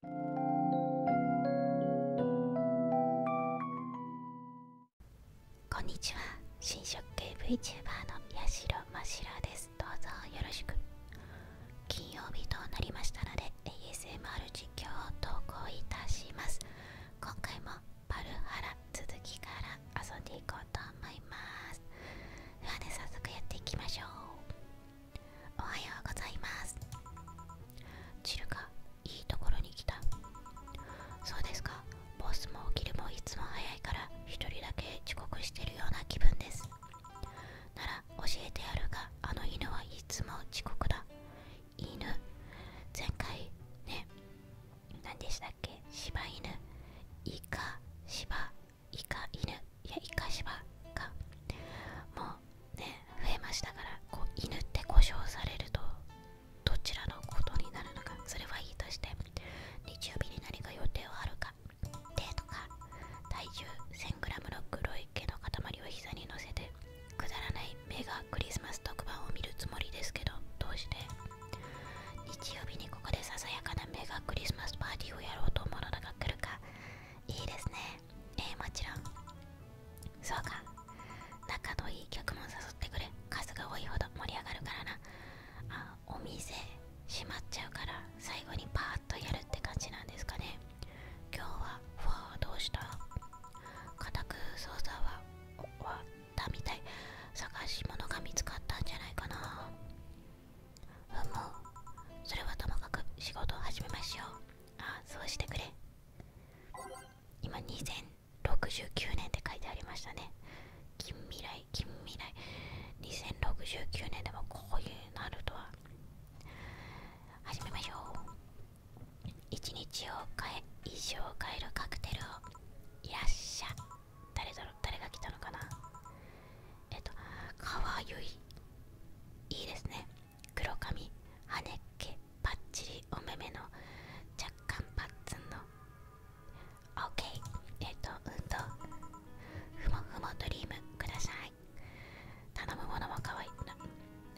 こんにちは新食系 VTuber のやしろ白ですどうぞよろしく金曜日となりましたので ASMR 実況を投稿いたします今回もパルハラ続きから遊んでいこうと思いますではね早速やっていきましょうおはようございますチるかいいところに来たそうですかボスも起きるもいつも早いから一人だけ遅刻してるような気分ですなら教えてやるがあの犬はいつも遅刻だ犬前回ね何でしたっけ柴犬イカ柴イカ犬いや生かしばかもうね増えましたからこう犬って故障されるとどちらのことになるのかそれはいいとして日曜日に何か予定はあるかデートか体重1 0 0 0グラムの黒い毛の塊を膝に乗せてくだらない目がクリスマス特番を見るつもりですけどどうして日曜日にここでささやかなメガクリスマスパーティーをやろうと思うのが来るかいいですねえもちろんそうか仲のいい客も誘ってくれ数が多いほど盛り上がるからなあお店閉まっちゃうから最後にパーッとやるって感じなんですかね今日はフォーどうした固く操作は終わったみたい探し物が見つかったんじゃないかなふむそれはともかく仕事を始めましょうあそうしてくれ今2069年って書いてありましたね近未来近未来2069年でもこういうなるとは始めましょう一日を変え一生を変えるカクテルをいらっしゃ誰だろう？誰が来たのかなえっとかわゆいいいですね黒髪羽根っけパッチリお目目の若干パッツンの OK えっ、と運動ふもふもドリームください頼むものも可愛いな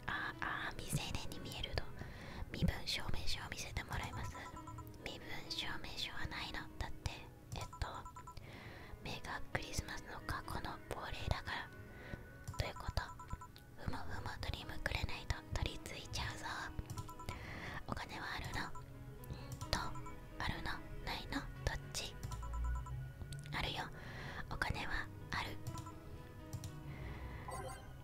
ああ未成年に見えると身分証明書を見せてもらいます身分証明書はないのだってえっと目がクリスマスの過去の亡霊だからということふむふむドリームくれないと取り付いちゃうぞお金はあるのんとあるのないのどっちあるよお金はある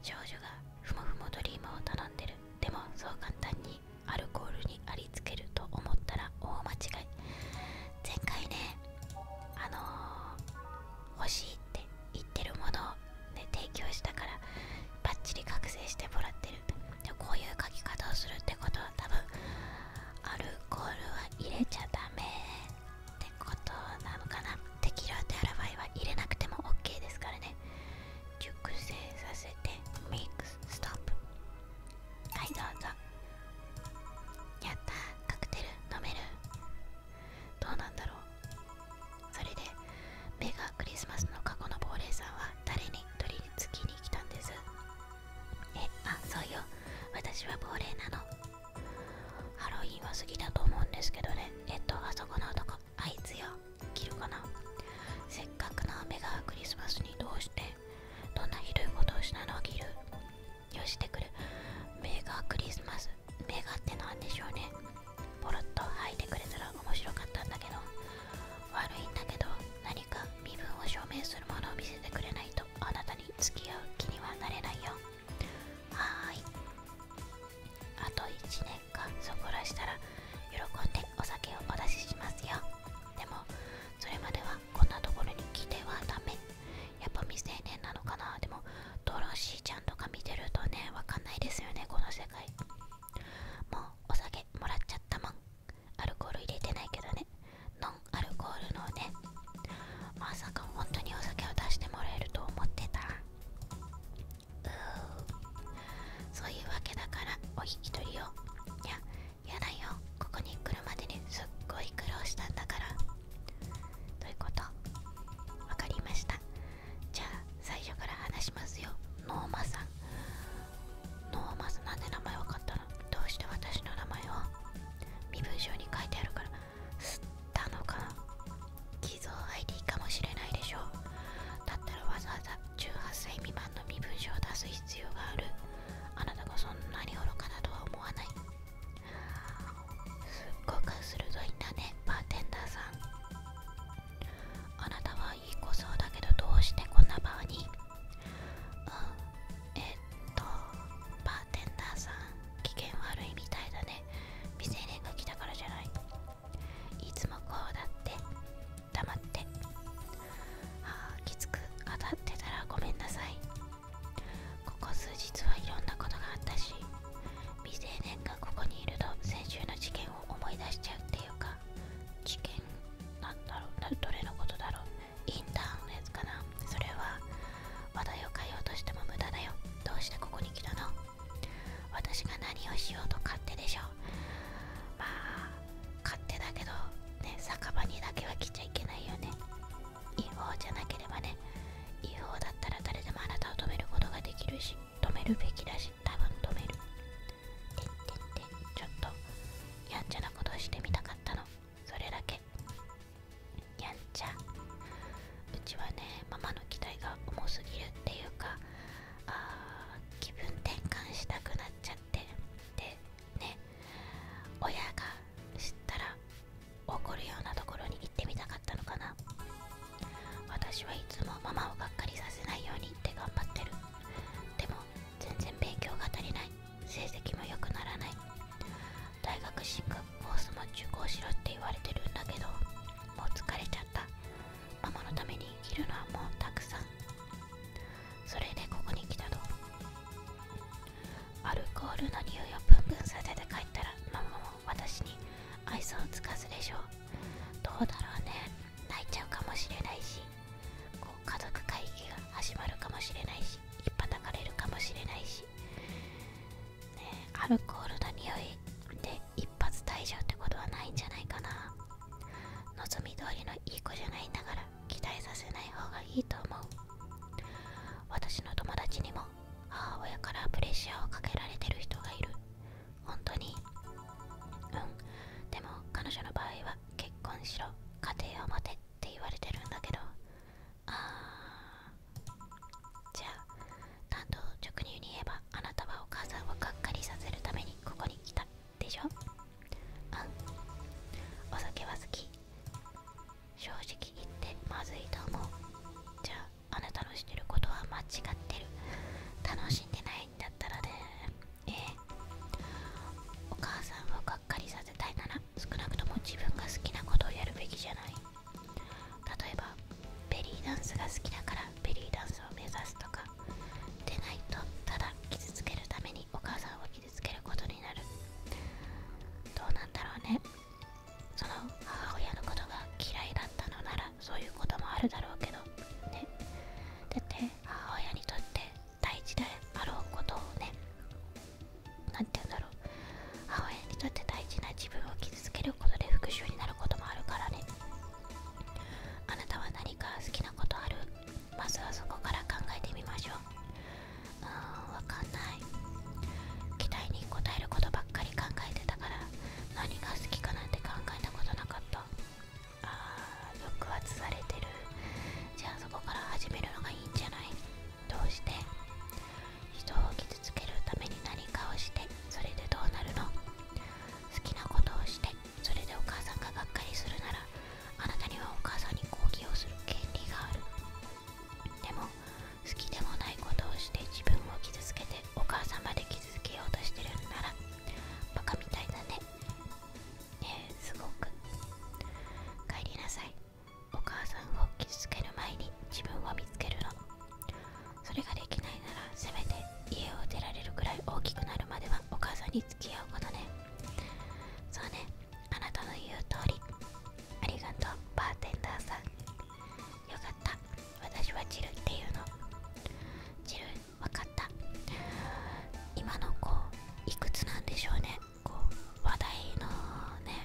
少女がふもふもドリームを頼んでるでもそう簡単にアルコールにありつけると思ったら大間違い前回ねあの欲しいって言ってるものを、ね、提供したからバッチリ覚醒してもらってるでこういう書き方をするってことは多分アルコールは入れちゃダメってことなのかなテキラーテアラバイは入れなくても OK ですからね熟成させてミックスストップはいどうぞやったカクテル飲めるどうなんだろうそれでメガクリスマスの過去の亡霊さんは誰に取り付きに来たんですえあそうよ私は亡霊なのハロウィンは過ぎだと思うんですけどねえっとあそこの男あいつよ着るかなせっかくのメガクリスマスにどうしてどんなひどいことをしたのを着るよしてくるメガクリスマスメガってなんでしょうねポロッと吐いてくれたら面白かったんだけど悪いんだけど何か身分を証明するものを見せてくれないとあなたに付き合う気にはなれないよはーいあと1年間そこらしたら喜んでお酒をお出ししますよでもそれまではこんなところに来てはダメやっぱ未成年なのかなでもドロシーちゃんとか見てるとねわかんないですよねこの世界もうお酒もらっちゃったもんアルコール入れてないけどねノンアルコールのねまさか本当にお酒を出してもらえると思ってたうそういうわけだからお引き取りをいややだよここに来るまでにすっごい苦労したんだからどういうことわかりましたじゃあ最初から話しますよノーマさんノーマさんなんで名前わかったのどうして私の名前を身分証に書いてあるから吸ったのか偽造 ID かもしれないでしょうだったらわざわざ18歳未満の身分証を出す必要があるあなたがそんなに愚かなとは思わないすっごく鋭いんだねバーテンダーさんあなたはいい子そうだけどどうしてこんな場ーにうんえっとバーテンダーさん機嫌悪いみたいだね未成年が来たからじゃないいつもこうだって黙ってああきつく当たってたらごめんなさいここ数日はいろんなことがあったし未成年がここにいると先週の事件を思い出しちゃうっていうか事件なんだろうどれのことだろうインターンのやつかなそれは話題を変えようとしても無駄だよどうしてここに来たの私が何をしようと勝手でしょまあ勝手だけどね酒場にだけは来ちゃいけないよね違法じゃなければね違法だったら誰でもあなたを止めることができるし止めるべきだし多分止めるてってってちょっとやんちゃなことをしてみたかったのそれだけやんちゃうちはねママの期待が重すぎるっていうかあー気分転換したくなっちゃってでね親が知ったら怒るようなところに行ってみたかったのかな私はいつもママをがっかりさせないようにって頑張ってるでも全然勉強が足りない成績も良くならない大学進学コースも受講しろって言われてるんだけどもう疲れちゃったママのためにいるのはもうたくさんそれでここに来たとアルコールの匂いをブンブンさせて帰ったらママも私に愛想をつかずでしょうどうだろうね泣いちゃうかもしれないしこう家族会議が始まるかもしれないしいっぱたかれるかもしれないし、ね、アルコールの匂いで一発退場ってことはないんじゃないかな望み通りのいい子じゃないながら期待させない方がいいと思う私の友達にも母親からプレッシャーをかけられてる人がいる本当にうんでも彼女の場合は結婚しろ家庭を持てって言われてるんだけどあじゃあ担当直入に言えばあなたはお母さんをがっかりさせるためにここに来たでしょうんお酒は好き正直言ってまずいと思うじゃああなたのしてることは間違ってる楽しんでないんだったらねええお母さんをがっかりさせたいなら少なくとも自分が好きなことをやるべきじゃない例えばベリーダンスが好きだからベリーダンスを目指すとかでないとただ傷つけるためにお母さんを傷けることになるどうなんだろうねその母親のことが嫌いだったのならそういうこともあるだろうけどねだって母親にとって大事であろうことをね何て言うんだろう母親にとって大事な自分を傷つけることで復讐になることもあるからねあなたは何か好きなことあるまずはそこから考えてみましょううんわかんない期待に応えることばっかり考えてたから何が好きかなんて考えたことなかったあー抑圧されてるじゃあそこから始めるのがいいんじゃないどうして人を傷つけるために何かをしてそれでどうなるの好きなことをしてそれでお母さんががっかりするならあなたにはお母さんに抗議をする権利があるでも好きでもないことをして自分を傷つけてお母さんまで傷つけようとしてるんならバカみたいだねねえすごく帰りなさいお母さんを傷つける前に自分を見つけるのそれができないならせめて家を出られるくらい大きくなるまではお母さんに付き合うことねそうねあなたの言う通りありがとうバーテンダーさんよかった私はジルっていうのジル分かった今の子いくつなんでしょうねこう話題のね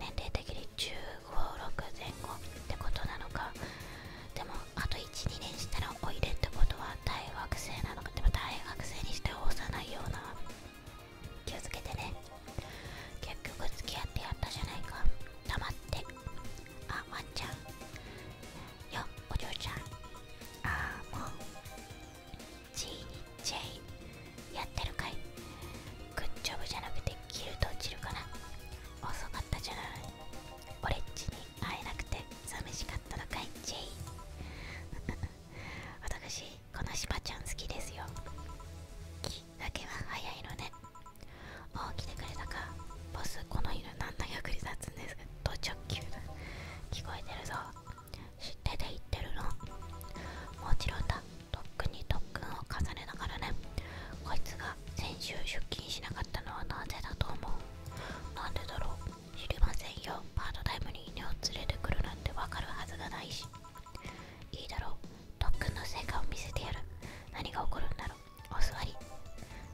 年齢的に156前後ってことなのかでもあと12年したらおいでってことは大学生なのかでも大学生にしては幼いような気をつけてね結局付き合ってやったじゃないか黙ってあワンちゃんよお嬢ちゃんああもう G にイやってるかいグッジョブじゃなくてキルと落ちるかな遅かったじゃない俺っちに会えなくて寂しかったのかいェイ 私このしばちゃん好きですよ木だけは早いのねもう来てくれたかボスこの犬何の役に立つんですかと直球聞こえてるぞ知ってて言ってるのもちろんだ特訓に特訓を重ねながらねこいつが先週出勤しなかったのはなぜだと思うなんでだろう知りませんよパートタイムに犬を連れてくるなんてわかるはずがないしいいだろう特訓の成果を見せてやる何が起こるんだろうお座り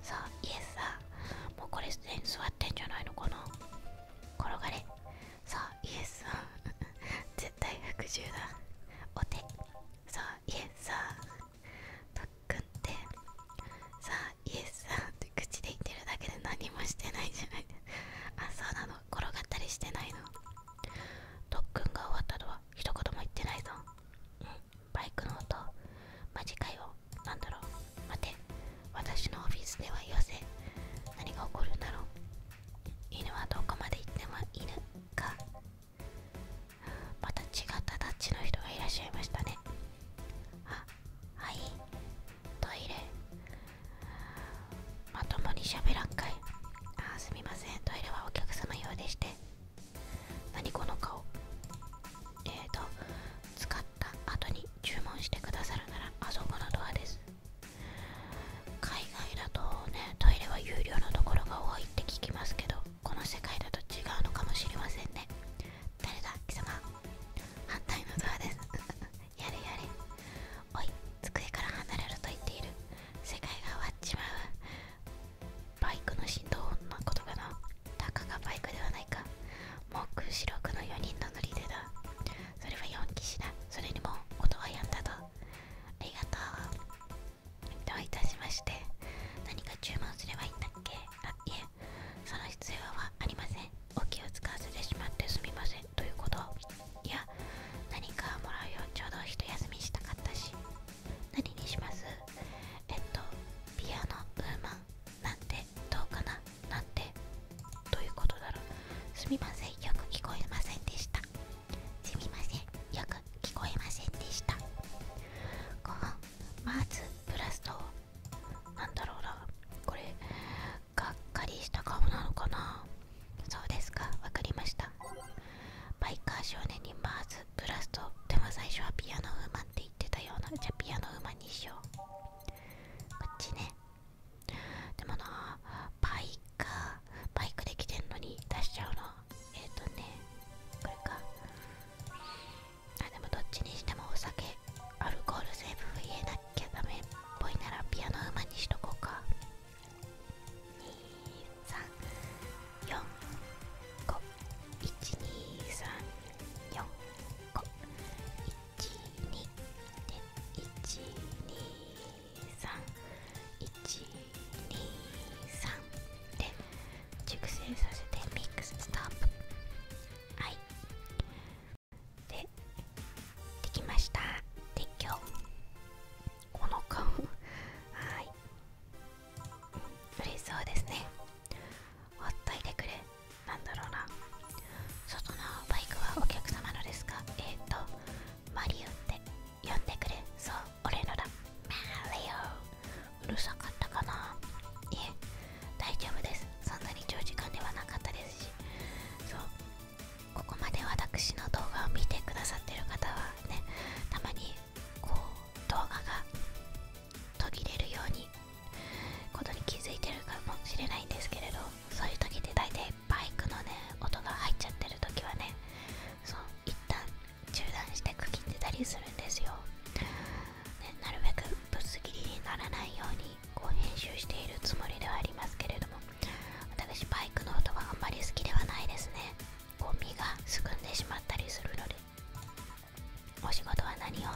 さあイエスさあもうこれすでに座ってんじゃないのかな転がれさあイエスさん 絶対服従だお手さあイエスさあ特訓ってさあイエスさんって口で言ってるだけで何もしてないじゃないですあそうなの転がったりしてないの特訓が終わったとは一言も言ってないぞうんバイクの音マジかよなんだろう待て私のオフィスではよせ何が起こるんだろう犬はどこまで行っても犬かまた違ったタッチの人がいらっしゃいましたねあはいトイレまともに喋らんかいあーすみませんトイレはお客様用でして何この顔えっと使った後に注文してくださるならあそこのドアです海外だとねトイレは有料のところが多いって聞きますけどこの世界だと違うのかもしれませんね誰だ貴様反対のドアですやれやれおい机から離れると言っている世界が終わっちまうバイクの振動音の言葉のなたかがバイクではないかもう白くの4人の乗り手だそれは4機士だそれにも音はやんだとありがとうどういたしまして何か注文すればいいんだっけあいえその必要はありませんお気を使わせてしまってすみませんということいや何かもらうよちょうど一休みしたかったし何にしますえっとピアノブーマンなんてどうかななんてということだろうすみませんよく聞こえませんでしたすみませんよく聞こえませんでしたご飯マーズブラストなんだろうなこれがっかりした顔なのかなそうですかわかりましたバイカー少年にマーズブラストでも最初はピアノウーマンって言ってたようなじゃピアノウーマンにしようこっちねでもなバイカーバイクで来てんのに出しちゃうのえっ、とねこれかあでもどっちにしてもお酒アルコール成分増えなキャダメっぽいならピアノうまにしとこうか23451234個12で123123で熟成させてミックスストップはいでできました撤去この顔はい嬉しそうですねほっといてくれなんだろうな外のバイクはお客様のですかえっ、とマリオって呼んでくれそう俺のだマリオうるさかったかないえ大丈夫ですそんなに長時間ではなかったですしそうここまで私の動画を見てくださってる方はねたまにこう動画が途切れるようにことに気づいてるかもしれないんですけれどそういう時って大体バイクのね音が入っちゃってる時はねそう一旦中断して区切ってたりするんですよ、ね、なるべくぶつ切りにならないようにこう編集しているつもりではありますけれども私バイクの音はあまり好きではないですねゴミがすくんでしまったりするのでお仕事は何を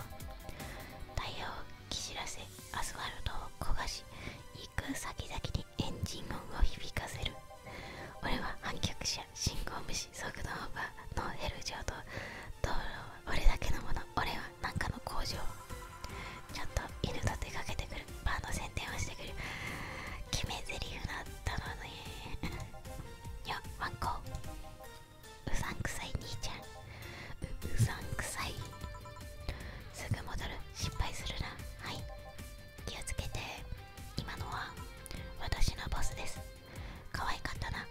タイヤをき知らせアスファルトを焦がし行く先々にエンジン音を響かせる俺は反逆者信号無視速度オーバーノーヘル状と道路は俺だけのもの俺は何かの工場ちょっと犬と出かけてくるバーの宣伝をしてくる決め台詞だったのね いやワンコうさんくさい兄ちゃんううさんくさいすぐ戻る失敗するなはい気をつけて今のは私のボスです可愛かったな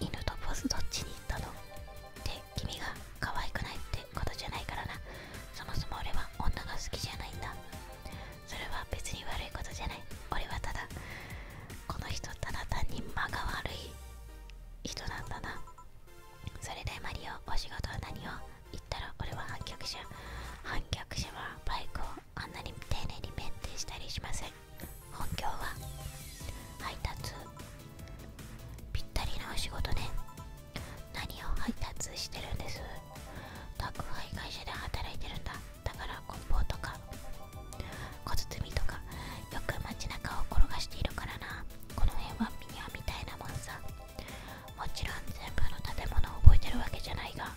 犬とボスどっちに行ったのって君が可愛くないってことじゃないからなそもそも俺は女が好きじゃないんだそれは別に悪いことじゃない俺はただこの人ただ単に間が悪い人なんだなそれでマリオお仕事は何を言ったら俺は反逆者反逆者はバイクをあんなに丁寧にメンテしたりしません本業は配達ぴったりなお仕事ね何を配達してるんです宅配会社で働いてるんだだから梱包とか小包とかよく街中を転がしているからなこの辺はミニアみたいなもんさもちろん全部の建物を覚えてるわけじゃないが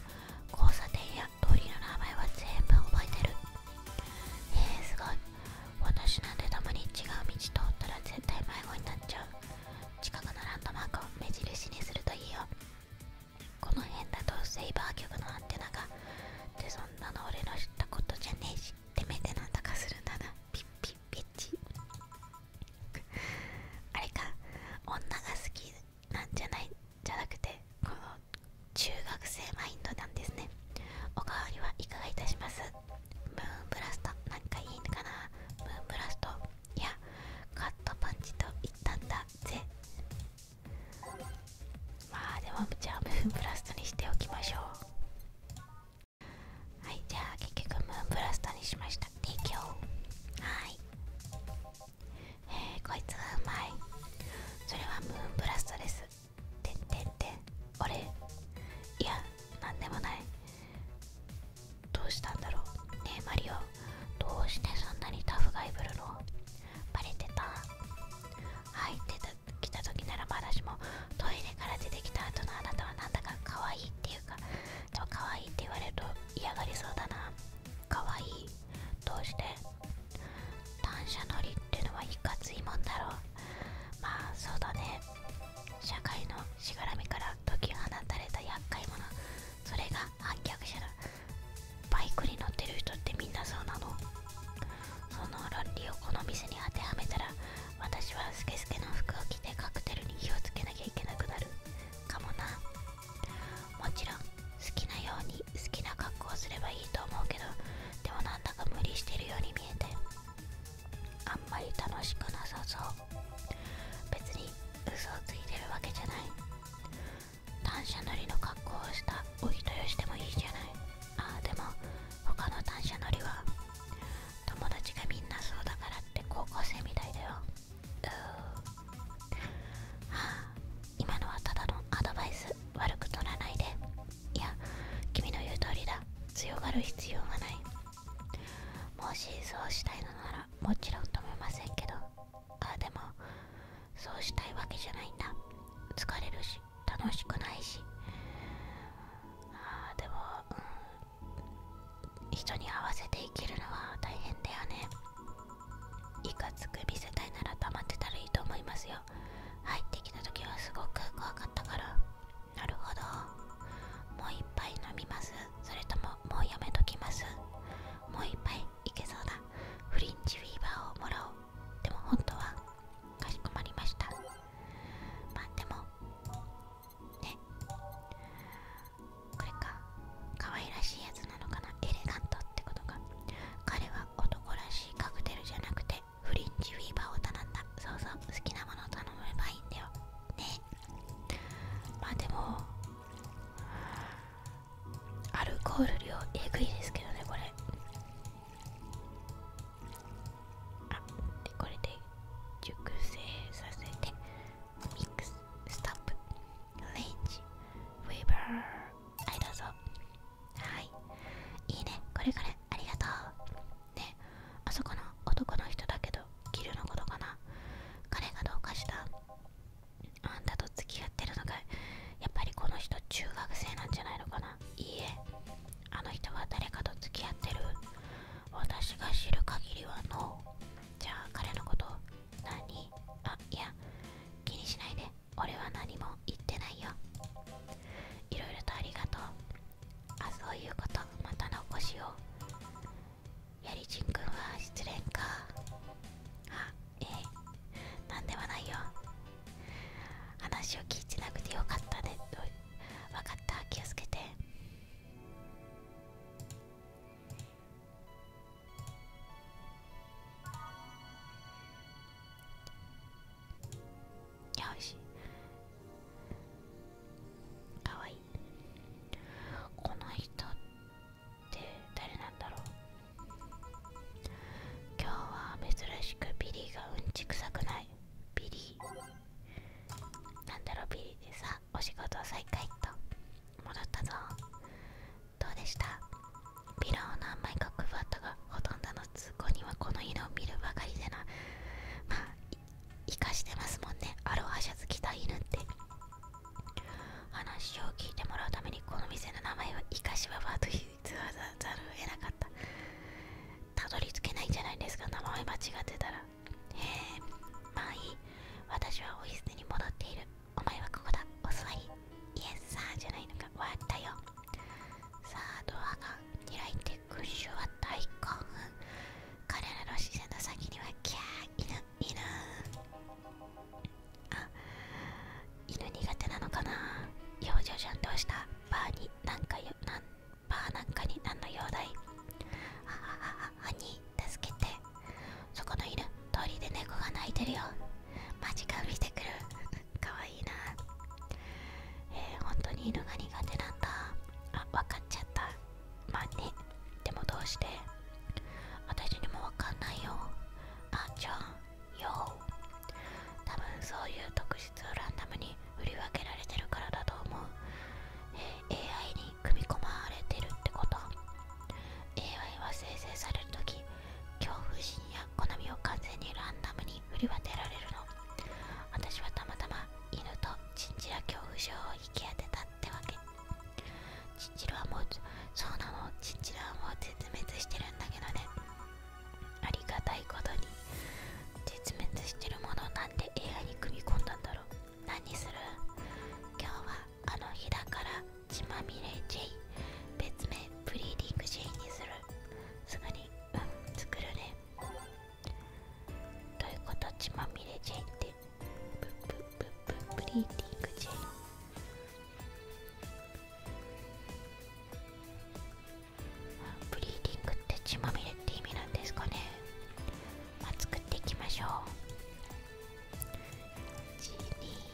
交差点や通りの名前は全部覚えてるへえすごい私なんてたまに違う道通ったら絶対迷子になっちゃう近くのランドマークを目印にするといいよこの辺だとセイバー局のアンテナがってそんなの俺の知ったことじゃねえしってめてなだかするんだなピッピッピッチあれか女が好きなんじゃないじゃなくてこの中学生マインドなんですねおかわりはいかがいたしますムーンブラストなんかいいのかなムーンブラストいやカットパンチと言ったんだぜまあでもじゃあムーンブラストにしておきましょうはいじゃあ結局ムーンブラストにしました提供はいえー、こいつがうまいそれはムーンブラストですてってんてん俺いやなんでもないどうしたんだろうねえマリオどうしてそんなにタフガイブルのバレてた入ってた来た時ならまだしもトイレから出てきた後のあなたはなんだか可愛いっていうかでも可愛いって言われると嫌がりそうだな可愛いどうして単車乗りってのはいかついもんだろうまあそうだね社会のしがらみから解き放たれた厄介者それが反逆者だバイクに乗ってる人ってみんなそうなのその論理をこの店に当てはめたら私はスケスケの服を着てカクテルに火をつけなきゃいけなくなるかもなもちろん好きなように好きな格好をすればいいと思うけどでもなんだか無理してるように見えてあんまり楽しくなさそう別に嘘をついてるわけじゃない単車乗りの格好をしたお人よしでもいいじゃないああでも他の単車乗りは友達がみんなそうだからって高校生みたいだようーはあ今のはただのアドバイス悪く取らないでいや君の言う通りだ強がる必要がないもしそうしたいのならもちろん止めませんけどあでもそうしたいわけじゃないんだ疲れるし楽しくないしああでも、うん、人に合わせて生きるのは大変だよねいかつく見せたいなら溜まってたらいいと思いますよ入ってきた時はすごく怖かったからなるほどもう一杯飲みますそれとももうやめときますもう一杯いけそうだフリンジフィーバーをもらおうでも本当はかしこまりましたまあでもねこれか可愛らしいやつなのかなエレガントってことか彼は男らしいカクテルじゃなくてフリンジフィーバーを頼んだそうそう好きなものを頼めばいいんだよねまあでもアルコール量えぐいですけどねこれあでこれで熟成させてミックスストップフレンジフィーバーはいどうぞはいいいねこれからありがとうねあそこの男の人だけどギルのことかな彼がどうかしたあんたと付き合ってるのがやっぱりこの人中学生なんじゃないのかないいえあの人は誰かと付き合ってる私が知る限りはノー。じゃあ彼のこと何あいや気にしないで俺は何も言ってないよいろいろとありがとうあそういうことまた残しよう。やりちんくんは失恋かあええなんではないよ話を聞いてなくてよかったねと分かった気をつけていやおいしいかわいいこの人って誰なんだろう今日は珍しくビリーがうんちくさくないビリーなんだろうビリーでさお仕事再開と戻ったぞどうでしたピラーを何枚か配ったがほとんどの通行はこの犬を見るばかりでなまあ生かしてますもんねアロハシャツ着た犬って話を聞いてもらうためにこの店の名前は生かしババと言わざるを得なかったたどり着けないんじゃないですか名前間違ってたらへえまあいい私はオお椅子に戻っているお前はここだお座りイエスさーじゃないのか終わったよさあドアが開いて群衆は大興奮彼らの視線の先にはキャー犬犬あ犬苦手なのかな幼女じゃんどうしたバーになんかよなんバーなんかに何の用だいははははに助けてそこの犬通りで猫が鳴いてるよマジか見てくるかわいいな本当に犬が苦手なんだあわかっちゃったまあねでもどうして私にもわかんないよあちゃんよ多分そういう特質をランダムに振り分けられてるからだと思う、AI に組み込まれてるってこと AI は生成される時恐怖心や好みを完全にランダムに振り分けられるの私はたまたま犬とチンチラ恐怖症を引き当てたってわけチンチラはもうそうなのチンチラはもう絶滅してるんだけどねありがたいことに絶滅してるものなんで映画に組み込んだんだろう何する今日はあの日だから血まみれ J 別名ブリーディング J にするすぐにうん作るねということ血まみれジェイってブッブッブッブブリーディングジェイ。ブリーディングって血まみれって意味なんですかねまあ作っていきましょう12312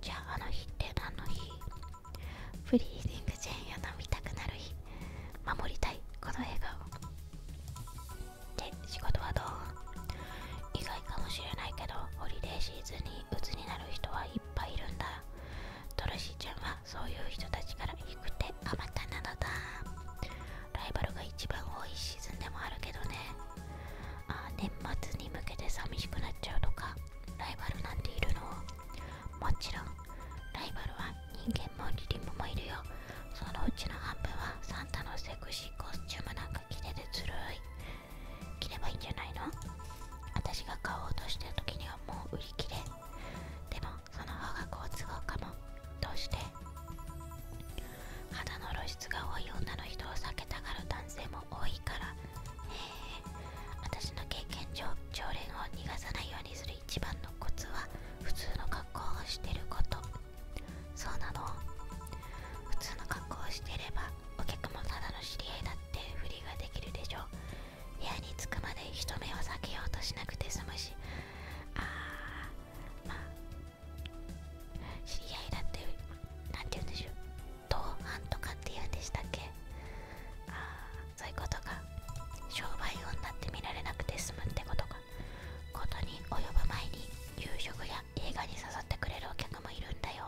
じゃああの日って何の日フリーディングチェーンを飲みたくなる日守りたいこの笑顔で仕事はどう意外かもしれないけどホリデーシーズンに鬱になる人はいっぱいいるんだトルシーちゃんはそういう人たちから行くてあ、またなのだライバルが一番多いシーズンでもあるけどねあ年末に向けて寂しくなっちゃうとかライバルなんているのもちろんライバルは人間もリリムもいるよそのうちの半分はサンタのセクシーコスチュームなんか着ててずるい着ればいいんじゃないの私が買おうとしてる時にはもう売り切れでもその方が好都合かもどうして肌の露出が多い女の人を避けたがる男性も多いからへえ私の経験上常連を逃がさないようにする一番のコツは普通の格好をしてることそうなの普通の格好をしてればお客もただの知り合いだってふりができるでしょう。部屋に着くまで人目を避けようとしなくて済むしあーまあ知り合いだって何て言うんでしょう同伴とかって言うんでしたっけああそういうことか商売運だって見られなくて済むってことかことに及ぶ前に夕食や映画に誘ってくれるお客もいるんだよ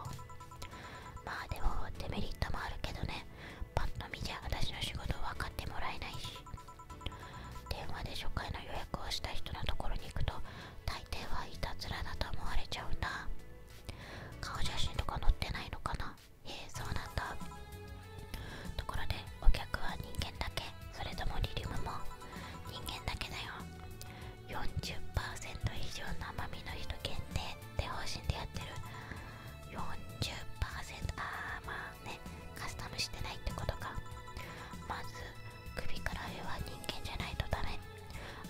まあでもデメリットもあるけどねパッと見じゃ私の仕事分かってもらえないし電話で初回の予約をした人のところに行くと大抵はいたずらだと思われちゃうん顔写真とか載ってないのかなええそうなんだところでお客は人間だけそれともリリウムも人間だけだよ40%以上の甘みの人限定って方針でやってる40%あーまあねカスタムしてないってことかまず首から上は人間じゃないとダメ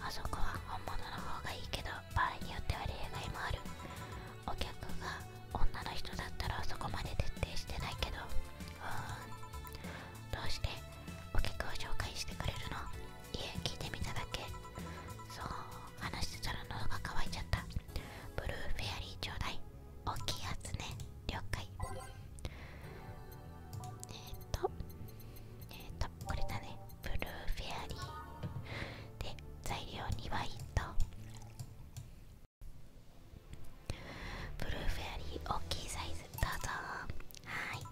あそこは本物の方がいいけど場合によっては例外もあるお客が女の人だったらそこまで徹底してないけどうんどうしてお客を紹介してくれるの家、聞いてみただけそう話してたら喉が渇いちゃったブルーフェアリーちょうだい大きいやつね了解えっ、とえっ、とこれだねブルーフェアリーで材料にワインとブルーフェアリー大きいサイズどうぞはい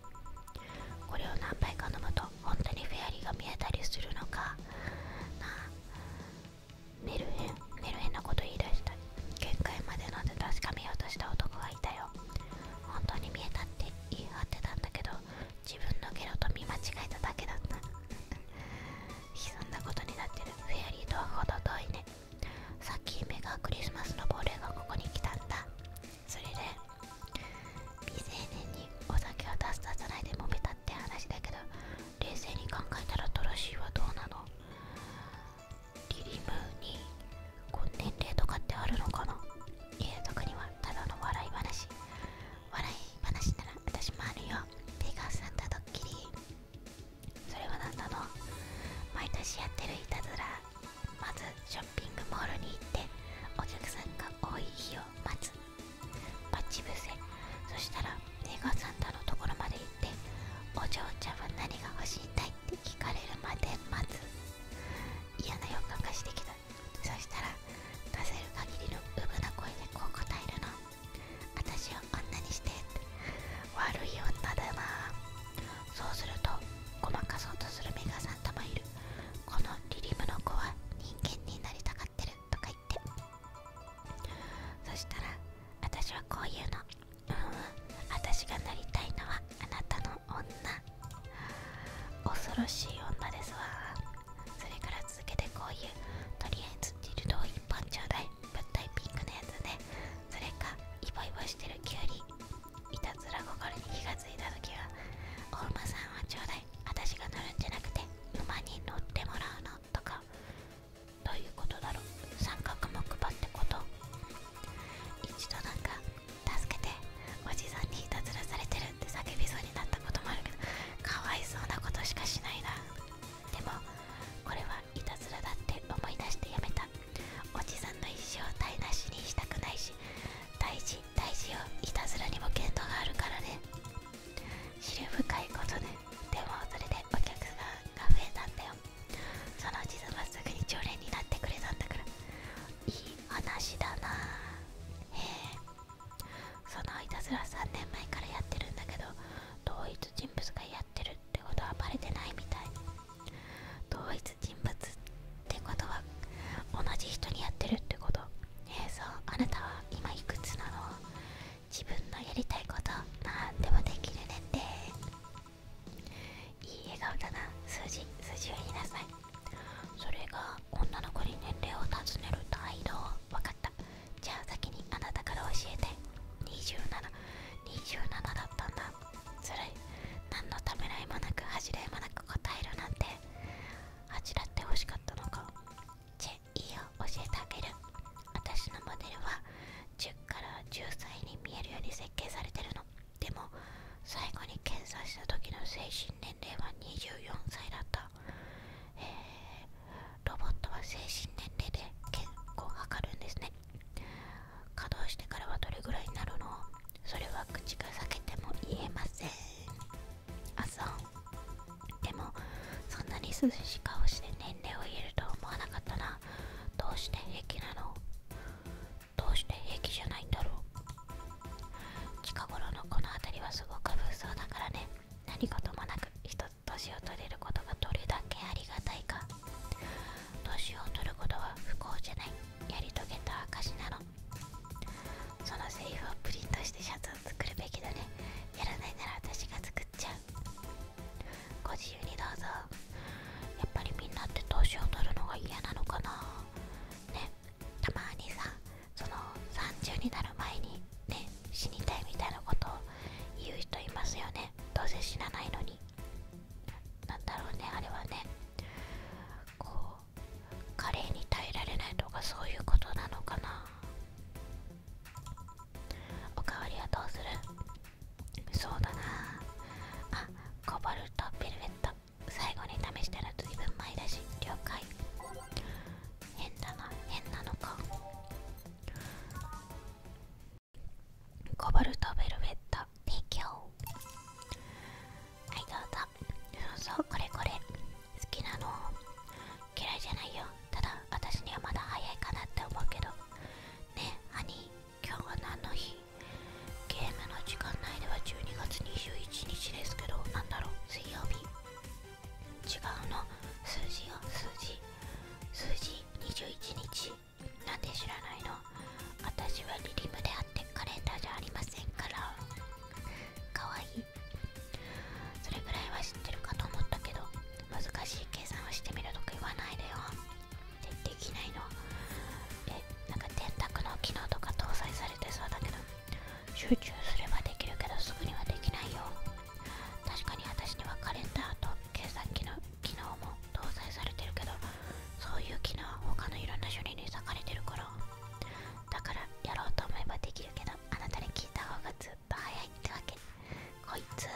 これを何杯か飲むと本当にフェアリーが見えたりするのかなメルヘンメルヘンなこと言い出した限界まで飲んで確かめようとした男がいたよ本当に見えたって言い張ってたんだけど自分のゲロと見間違えただけだったそん なことになってるフェアリーとは程遠いねさっき目がクリスマスの亡霊がここに来たんだそれで未成年にお酒を出す出さないでもめたって話だけど冷静に考えたらトロシーはどうなのギリムーにこ年齢とかってあるのかな家やにはただの笑い話笑い話なら私もあるよペガースサンタドッキリそれは何なの毎年やってるいたずらまずショッピングモールに行ってお客さんが多い日を待つッチ伏せそしたらペガースサンタのところまで行ってお嬢ちゃんは何が欲しいんだいって聞かれるまで待つ嫌な予感がしてきたそしたら出せる限りのうぶな声でこう答えるの私を女にして悪い女だなそうするとごまかそうとするメガさんともいるこのリリムの子は人間になりたがってるとか言ってそしたら私はこういうのうん私がなりたいのはあなたの女恐ろしい女ですわそれから続けてこういうとりあえずディルドを1本ちょうだい物体ピンクのやつで、それかイボイボしてるキュウリいたずら心に気がついた時はお馬さんはちょうだい私が乗るんじゃなくて馬に乗ってもらうのとかどういうことだろう三角目配ってこと一度なんか助けておじさんにいたずらされてるって叫びそうになったこともあるけどかわいそうなことしかしないなでもこれはいたずらだって思い出してやめたおじさんの一生を台無しにしたくないし大事大事よいたずらにも限度があるからね知る深いことねでもそれでお客さんが増えたんだよそのうちはすぐに常連になってくれたんだからいい話だなへえそのいたずら3年前からやってるんだけど同一人物がやってるってことはバレてないみたい同一人物ってことは同じ人にやってるってことえそうあなたは今いくつなの自分のやりたいこと何でもできるねっていい笑顔だな数字数字を言いなさいそれが女の子に年齢を尋ねる態度分かったじゃあ先にあなたから教えて2727だったんだずるい何のためらいもなく恥じらいもなく答えるなんて恥じらって欲しかったのかチェいーよ教えてあげる私のモデルは10から10歳に見えるように設計されてるのでも最後に検査した時の精神年齢は24歳だった、ロボットは精神年齢で結構を測るんですね稼働してからはどれぐらいになるのそれは口が裂けても言えませんあそうでもそんなに涼しい顔して年齢を言えるとは思わなかったなどうして平気なのどうして平気じゃないんだろう近頃のこの辺りはすごく物騒だからね何事もなく一つ年を取れることがどれだけありがたいか年を取ることは不幸じゃないやり遂げた証なのそのセリフをプリントしてシャツを作るべきだねやらないなら私が作っちゃうご自由にどうぞやっぱりみんなって年を取るのが嫌なのかなねたまにさその30になる前にね死にたいみたいなことを言う人いますよねどうせ死なないのになんだろうねあれはねこうカレーに耐えられないとかそういうことなのかなおかわりはどうするそうだなあコボルトベルベット最後に試したら随分前だし了解変だな変なのかコボルトベルベット提供はいどうぞそうそうこれこれ好きなの嫌いじゃないよただ私にはまだ早いかなって思うけどねえハニー今日は何の日ゲームの時間内では12月21日ですけど何だろう水曜日違うの数字よ数字数字21日なんで知らないの私はリリムであってカレンダーじゃありませんからかわいいそれぐらいは知ってるかと思ったけど難しい計算をしてみるとか言わないでよできないのえなんか電卓の機能とか搭載されてそうだけど集中すればできるけどすぐにはできないよ確かに私にはカレンダーと計算機の機能も搭載されてるけどそういう機能は他のいろんな処理に割かれてるからだからやろうと思えばできるけどあなたに聞いた方がずっと早いってわけこいつ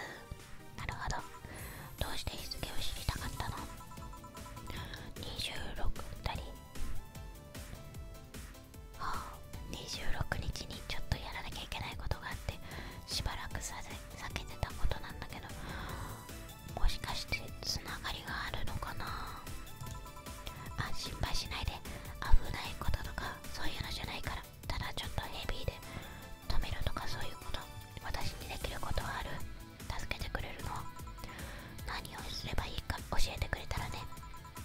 なるほどどうして日付を知りたかったの26 2。り、はあ、26日にちょっとやらなきゃいけないことがあってしばらくさ避けてたことなんだけどもしかしてつながりがあるのかなあ心配しないで危ないこととかそういうのじゃないからただちょっとヘビーで止めるとかそういうこと私にできることはある助けてくれるの何をすればいいか教えてくれたらね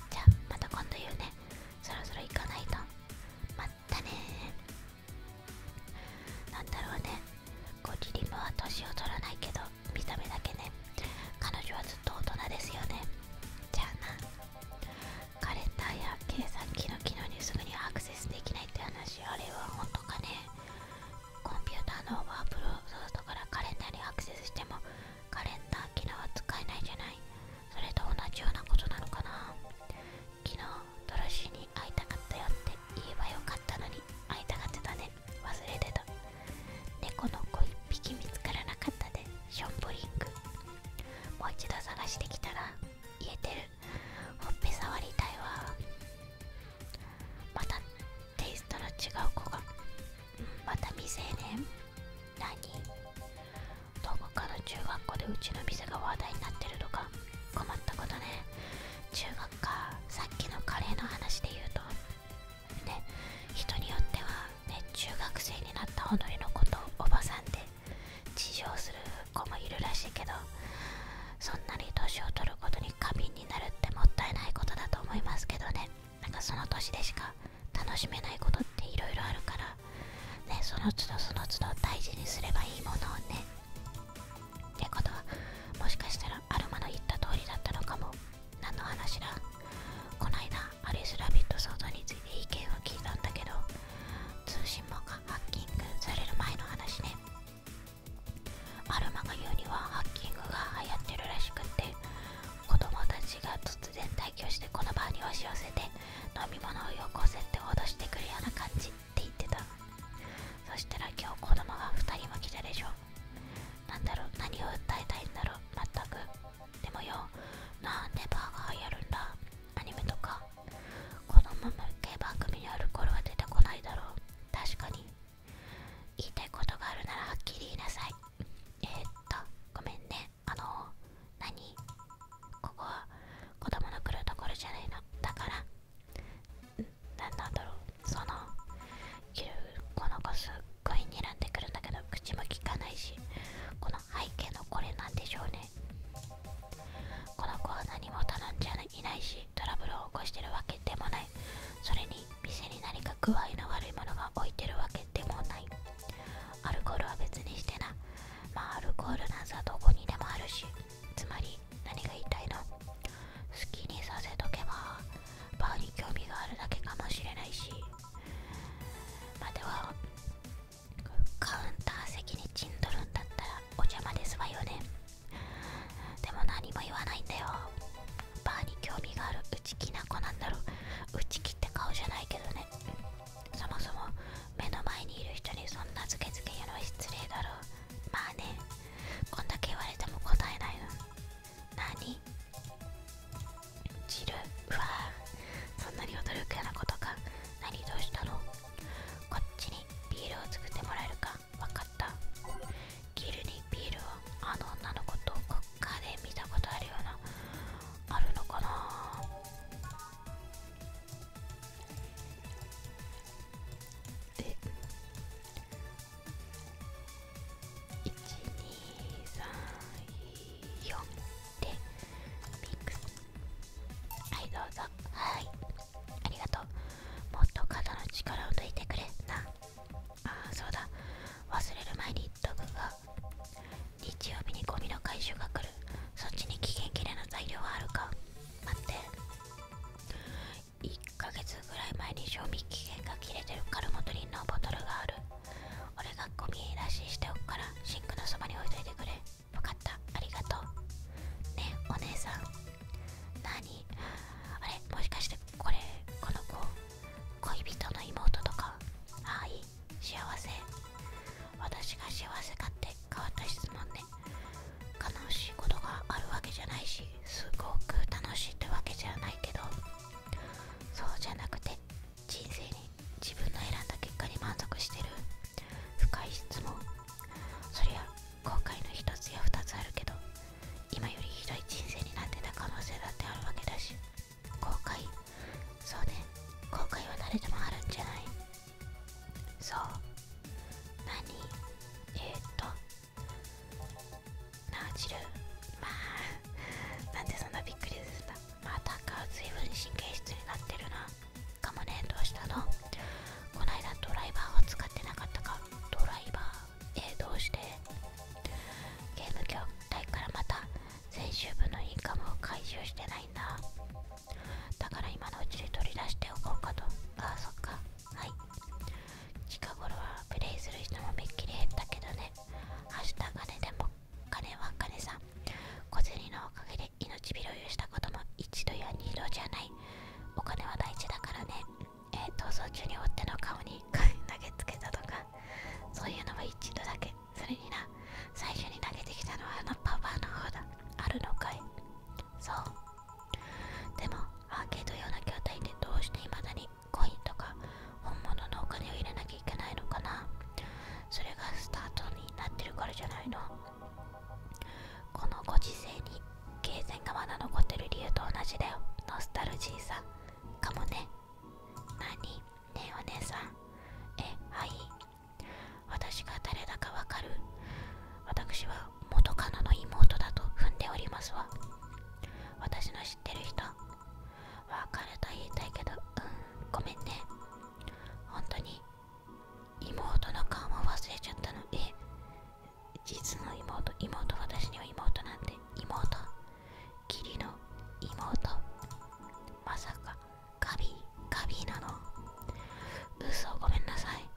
じゃあまた今度言うねそろそろ行かないとまたねーなんだろうねゴリリムは年を取らないけど見た目だけね彼女はずっと大人ですよねじゃあなカレンダーや計算機の機能にすぐにアクセスできないって話あれは本当かねコンピューターのワープロソフトからカレンダーにアクセスしてもカレンダー昨日は使えないじゃないそれと同じようなことなのかな昨日ドロシーに会いたかったよって言えばよかったのに会いたがってたね忘れてた猫の子1匹見つからなかったでショッボリングもう一度探してきたら言えてるほっぺ触りたいわまたテイストの違う子がまた未成年何どこかの中学校でうちの店が話題になってるとか困ったことね中学かさっきのカレーの話で言うとね人によってはね中学生になったほのりのことをおばさんで自称する子もいるらしいけどそんなに年を取ることに過敏になるってもったいないことだと思いますけどねなんかその年でしか楽しめないことっていろいろあるからねその都度その都度大事にすればいいものをねってことはもしかしたらアルマの言った通りだったのかも何の話だこないだアリス・ラビット騒動について意見を聞いたんだけど通信網がハッキングされる前の話ねアルマが言うにはハッキングが流行ってるらしくって子供たちが突然退去してこの場に押し寄せて飲み物をよこせって脅してくるような感じって言ってたそしたら今日子供が2人も来たでしょなんだろう何を訴えたいんだろうまったくでもよなあネバーが流行るんだアニメとか子供向け番組にある頃は出てこないだろう確かに言いたいことがあるならはっきり言いなさいえっとごめんねあの何ここは子供の来るところじゃないのだから何なんだろうそのいるこの子すっごい睨んでくるんだけど口もきかないしこの背景のこれなんでしょうねこの子は何も頼んじゃいないしトラブルを起こしてるわけでもないそれに店に何か具合の悪いものが置いてるわけでもないアルコールは別にしてなまあアルコールなんざどこにでもあるしつまり何が言いたいの好きにさせとけばバーに興味があるだけかもしれないしまあ、ではカウンター席に陣取るんだったらお邪魔ですわよねでも何も言わないんだよバーに興味がある内気な子なんだろう内気って顔じゃないけどね、そもそも目の前にいる人にそんなズケズケ言うのは失礼だろうまあねこんだけ言われても答えないの何ジるうわそんなに驚くようなことか何どうしたのこっちにビールを作ってもらえるかわかったギルにピールはあの女の子とか、家で見たことあるようなあるのかなで1234でミックスはいどうぞはいありがとうもっと肩の力を抜いてくれなああそうだ忘れる前に言っとくが日曜日にゴミの回収が来るそっちに期限切れの材料はあるか待って1ヶ月ぐらい前に賞味期限が切れてるカルモトリンのボトルがある俺がゴミ出ししておくからシンクのそばに置いといてくれ分かったありがとうねお姉さん何あれもしかしてこれこの子恋人の妹とかはい幸せ私が幸せかって変わった質問で悲しいことがあるわけじゃないしすごく楽しいってわけじゃないけどそうじゃなくて人生に自分の選んだ結果に満足してる深い質問そりゃ後悔の1つや2つあるけど今よりひどい人生になってた可能性だってあるわけだし後悔そうね後悔は誰でもあるんじゃないそう何えっとなあチルまあなんでそんなびっくりするんまたか随分神経質になってるなかもねどうしたのこないだドライバーを使ってなかったかドライバーえどうしてゲーム業界からまた先週分のインカムを回収してないんだだから今のうちに取り出しておこうかとああそっかはい近頃はプレイする人もめっきり減ったけどね明日金でも金は金さん小銭のおかげで命拾いをしたことも一度や二度じゃないお金は大事だからねえー、逃走中に追っての顔に投げつけたとかそういうのは一度だけそれにな最初に投げてきたのはあのパパの方だあるのかいそうでもアーケード用な筐体でどうしていまだにコインとか本物のお金を入れなきゃいけないのかなそれがスタートになってるからじゃないのこのご時世に経済がまだ残ってる理由と同じだよノスタルジーさかもね何ねお姉さんえはい私が誰だかわかる私は元カノの妹だと踏んでおりますわ私の知ってる人別れと言いたいけどうんごめんね本当に妹の顔も忘れちゃったのえ実の妹妹私には妹なんて妹義理の妹まさかカビカビなの嘘ごめんなさい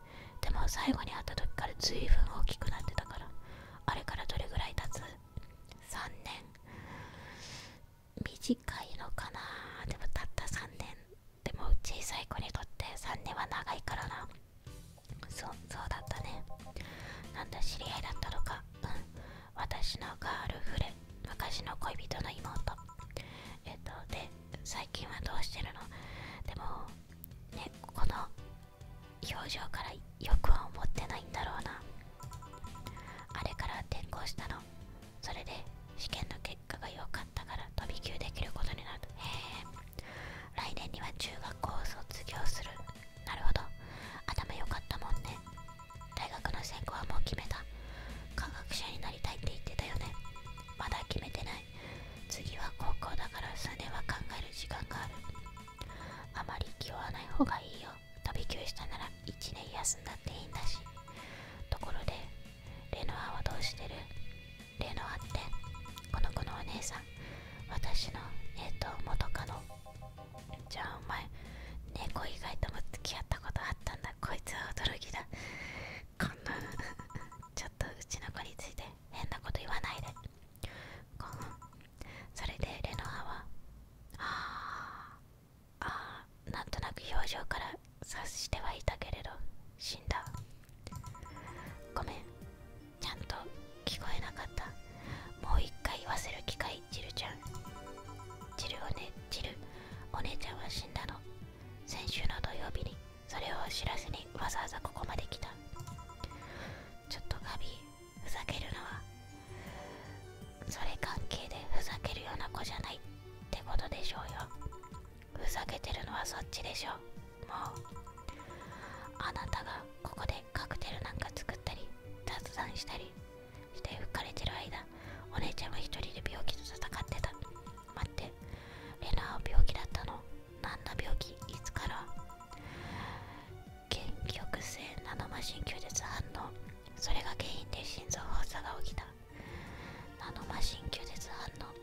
でも最後に会った時からずいぶん大きくなってたからあれからどれぐらい経つ ?3 年短いのかなでもたった3年でも小さい子にとって3年は長いからなそそうだったねなんだ知り合いだったのかうん私のガールフレ昔の恋人の妹えっとで最近はどうしてるのでもねこの表情からよくは思ってないんだろうなあれから転校したのそれで試験の結結果が良かったから飛び級できることになるへえ来年には中学校を卒業するなるほど頭良かったもんね大学の専攻はもう決めた科学者になりたいって言ってたよねまだ決めてない次は高校だから数年は考える時間があるあまり気負わない方がいいよ飛び級したなら1年休んだっていいんだしところでレノアはどうしてるレノアってこの子のお姉さん私のえっ、と元カノじゃあお前猫以外とも付き合ったことあったんだこいつは驚きだこんなちょっとうちの子について変なこと言わないでそれでレノアはああなんとなく表情から察してはいたけれど死んだごめんちゃんと聞こえなかったもう一回言わせる機会ジルちゃんジルおねジルお姉ちゃんは死んだの先週の土曜日にそれを知らずにわざわざここまで来たちょっとガビふざけるのはそれ関係でふざけるような子じゃないってことでしょうよふざけてるのはそっちでしょもうあなたがここでカクテルなんか作ったり雑談したりして吹かれてる間お姉ちゃんは一人で病気と戦ってた待ってレナは病気だったの何の病気いつから原極性ナノマシン吸絶反応それが原因で心臓発作が起きたナノマシン吸絶反応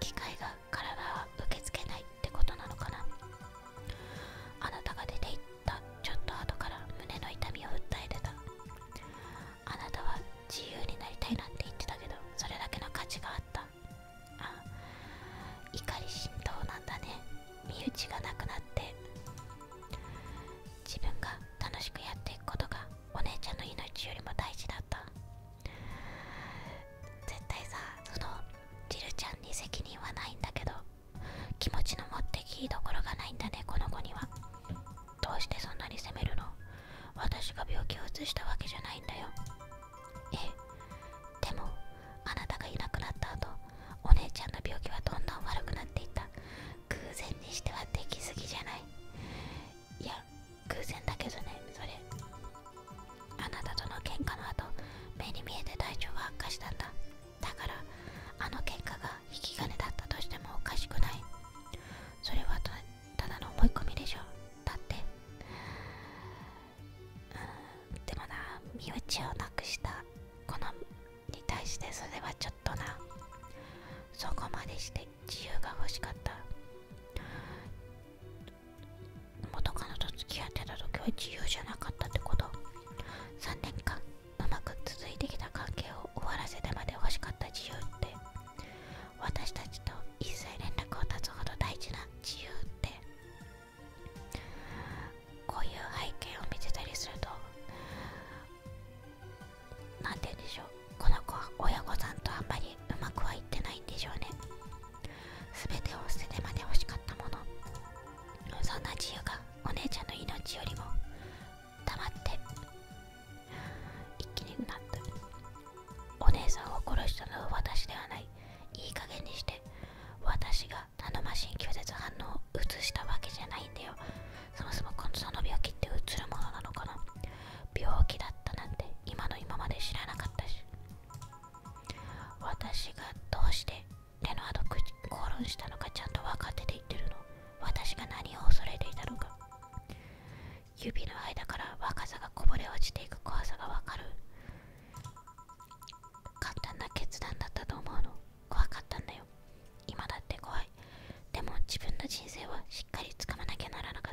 機械が体は受け付けないってことなのかなあなたが出て行ったちょっと後から胸の痛みを訴えてたあなたは自由になりたいなんて言ってたけどそれだけの価値があったあ怒り心頭なんだね身内がなくなって自分が楽しくやっていくことがお姉ちゃんの命よりも大事だった絶対さそのジルちゃんに責任はないんだけど気持ちの持ってきどころがないんだねこの子にはどうしてそんなに責めるの私が病気をうつしたわけじゃないんだよええでもあなたがいなくなった後お姉ちゃんの病気はどんどん悪くなっていった偶然にしてはできすぎじゃないいや偶然だけどねそれあなたとの喧嘩の後目に見えて体調が悪化したんだだからあの喧嘩が引き金だったとしてもおかしくないそれはただの思い込みでしょだってうんでもな身内をなくしたこのに対してそれはちょっとなそこまでして自由が欲しかった元カノと付き合ってた時は自由じゃなかったってこと3年間うまく続いてきた関係を終わらせてまで欲しかった自由って私たちと一切連絡を断つほど大事な自由ってこういう背景を見せたりすると何て言うんでしょうこの子は親御さんとあんまりうまくはいってないんでしょうね全てを捨ててまで欲しかったものそんな自由がお姉ちゃんの命よりもたまって一気にうなったお姉さんを殺したのは私ではないいい加減にして私が頼ましい拒絶反応を移したわけじゃないんだよそもそもこのその病気って移るものなのかな病気だったなんて今の今まで知らなかったし私がどうしてレノアと口を論したのかちゃんと分かってて言ってるの私が何を恐れていたのか指の間から若さがこぼれ落ちていく怖さが分かる簡単な決断だったと思うの怖かったんだよ今だって怖いでも自分の人生はしっかりつかまなきゃならなか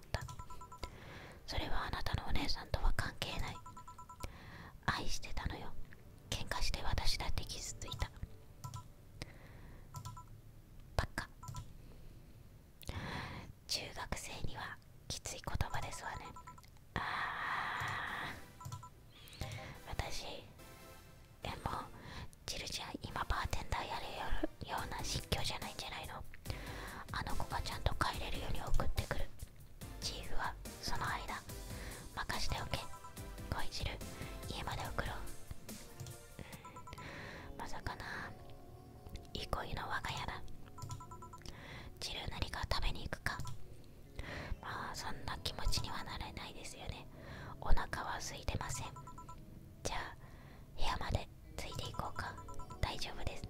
それはあなたのお姉さんとは関係ない愛してたのよ喧嘩して私だって傷ついたばっか中学生にはきつい言葉ですわねあ私でもジルジは今バーテンダーやるような神実況じゃないんじゃないのあの子がちゃんと帰れるように送ってくるチーフはその間任しておけ恋汁家まで送ろう、まさかない。いの我が家だチル何か食べに行くかまあそんな気持ちにはなれないですよねお腹は空いてませんじゃあ部屋までついていこうか大丈夫です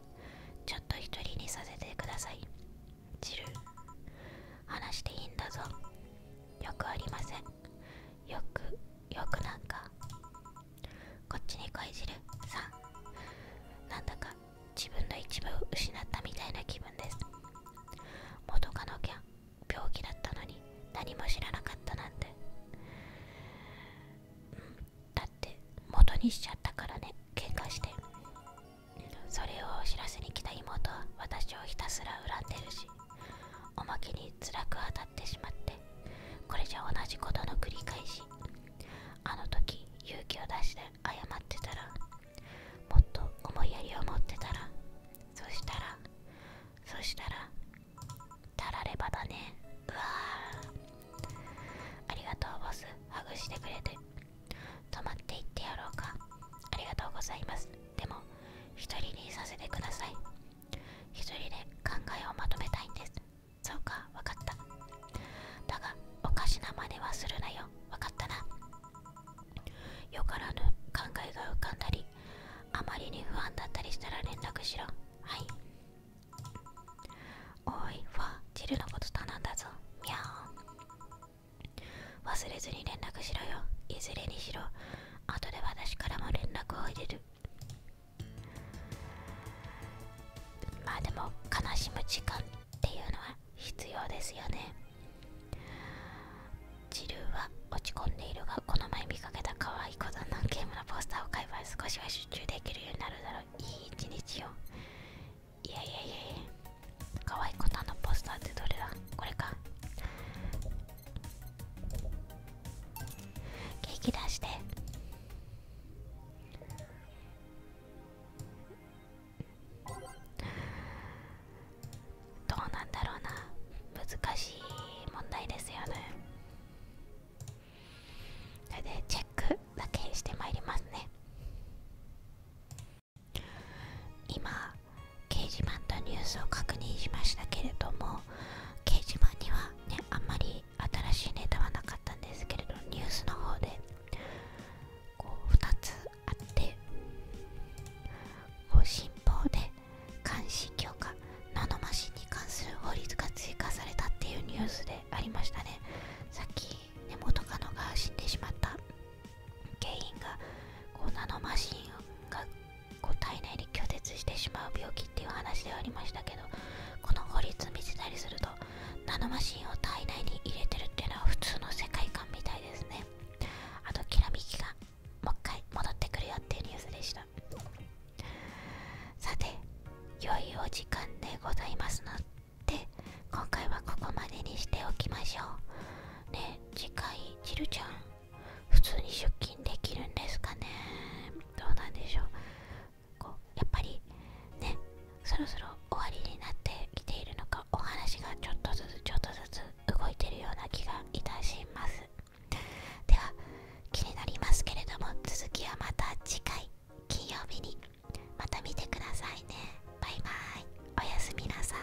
ちょっと一人にさせてくださいジル話していいんだぞよくありませんよくよくなんかこっちに来いジルさんなんだか自分の一部を失ったみたいな気分です元カノキャン病気だったのに何も知らなかったなんて、だって元にしちゃったからね喧嘩してそれを知らせに来た妹は私をひたすら恨んでるしおまけに辛く当たってしまってこれじゃ同じことの繰り返しあの時勇気を出して謝ってたらもっと思いやりを持ってたらそしたらそしたらたらればだねうわありがとうボスハグしてくれて泊まっていってやろうかありがとうございますでも一人にさせてください一人で考えをまとめたいんですそうかわかっただがおかしなまねはするなよわかったなよからぬ考えが浮かんだりあまりに不安だったりしたら連絡しろはいおいはジルのこと頼んだぞミャオ忘れずに連絡しろよいずれにしろ後で私からも連絡を入れるまあでも悲しむ時間っていうのは必要ですよねジルは落ち込んでいるがこの前見かけた可はいいことのゲームのポスターを買えば少しは集中できるようになるだろういい一日を。いやいやいやいやかわいいことのポスターってどれだこれかケーキ出してどうなんだろうな難しい問題ですよねそれでチェックだけしてまいりますね今掲示板とニュースを確認しましたけれども掲示板にはねあんまり新しいネタはなかったんですけれどニュースの方でこう2つあってこう新報で監視強化ナノマシンに関する法律が追加されたっていうニュースでありましたねさっき根本カノが死んでしまった原因がこうナノマシンがこう体内に拒絶してしまう病気っていう話ではありましたけどこの法律を見せたりするとナノマシンを体内に入れてるっていうのは普通の世界観みたいですねあときらめきがもう一回戻ってくるよっていうニュースでしたさて良いお時間でございますので今回はここまでにしておきましょうね次回ちるちゃん普通に出勤できるんですかねどうなんでしょうこうやっぱりねそろそろ終わりになってきているのかお話がちょっとずつちょっとずつ動いてるような気がいたしますでは気になりますけれども続きはまた次回金曜日にまた見てくださいねバイバイおやすみなさい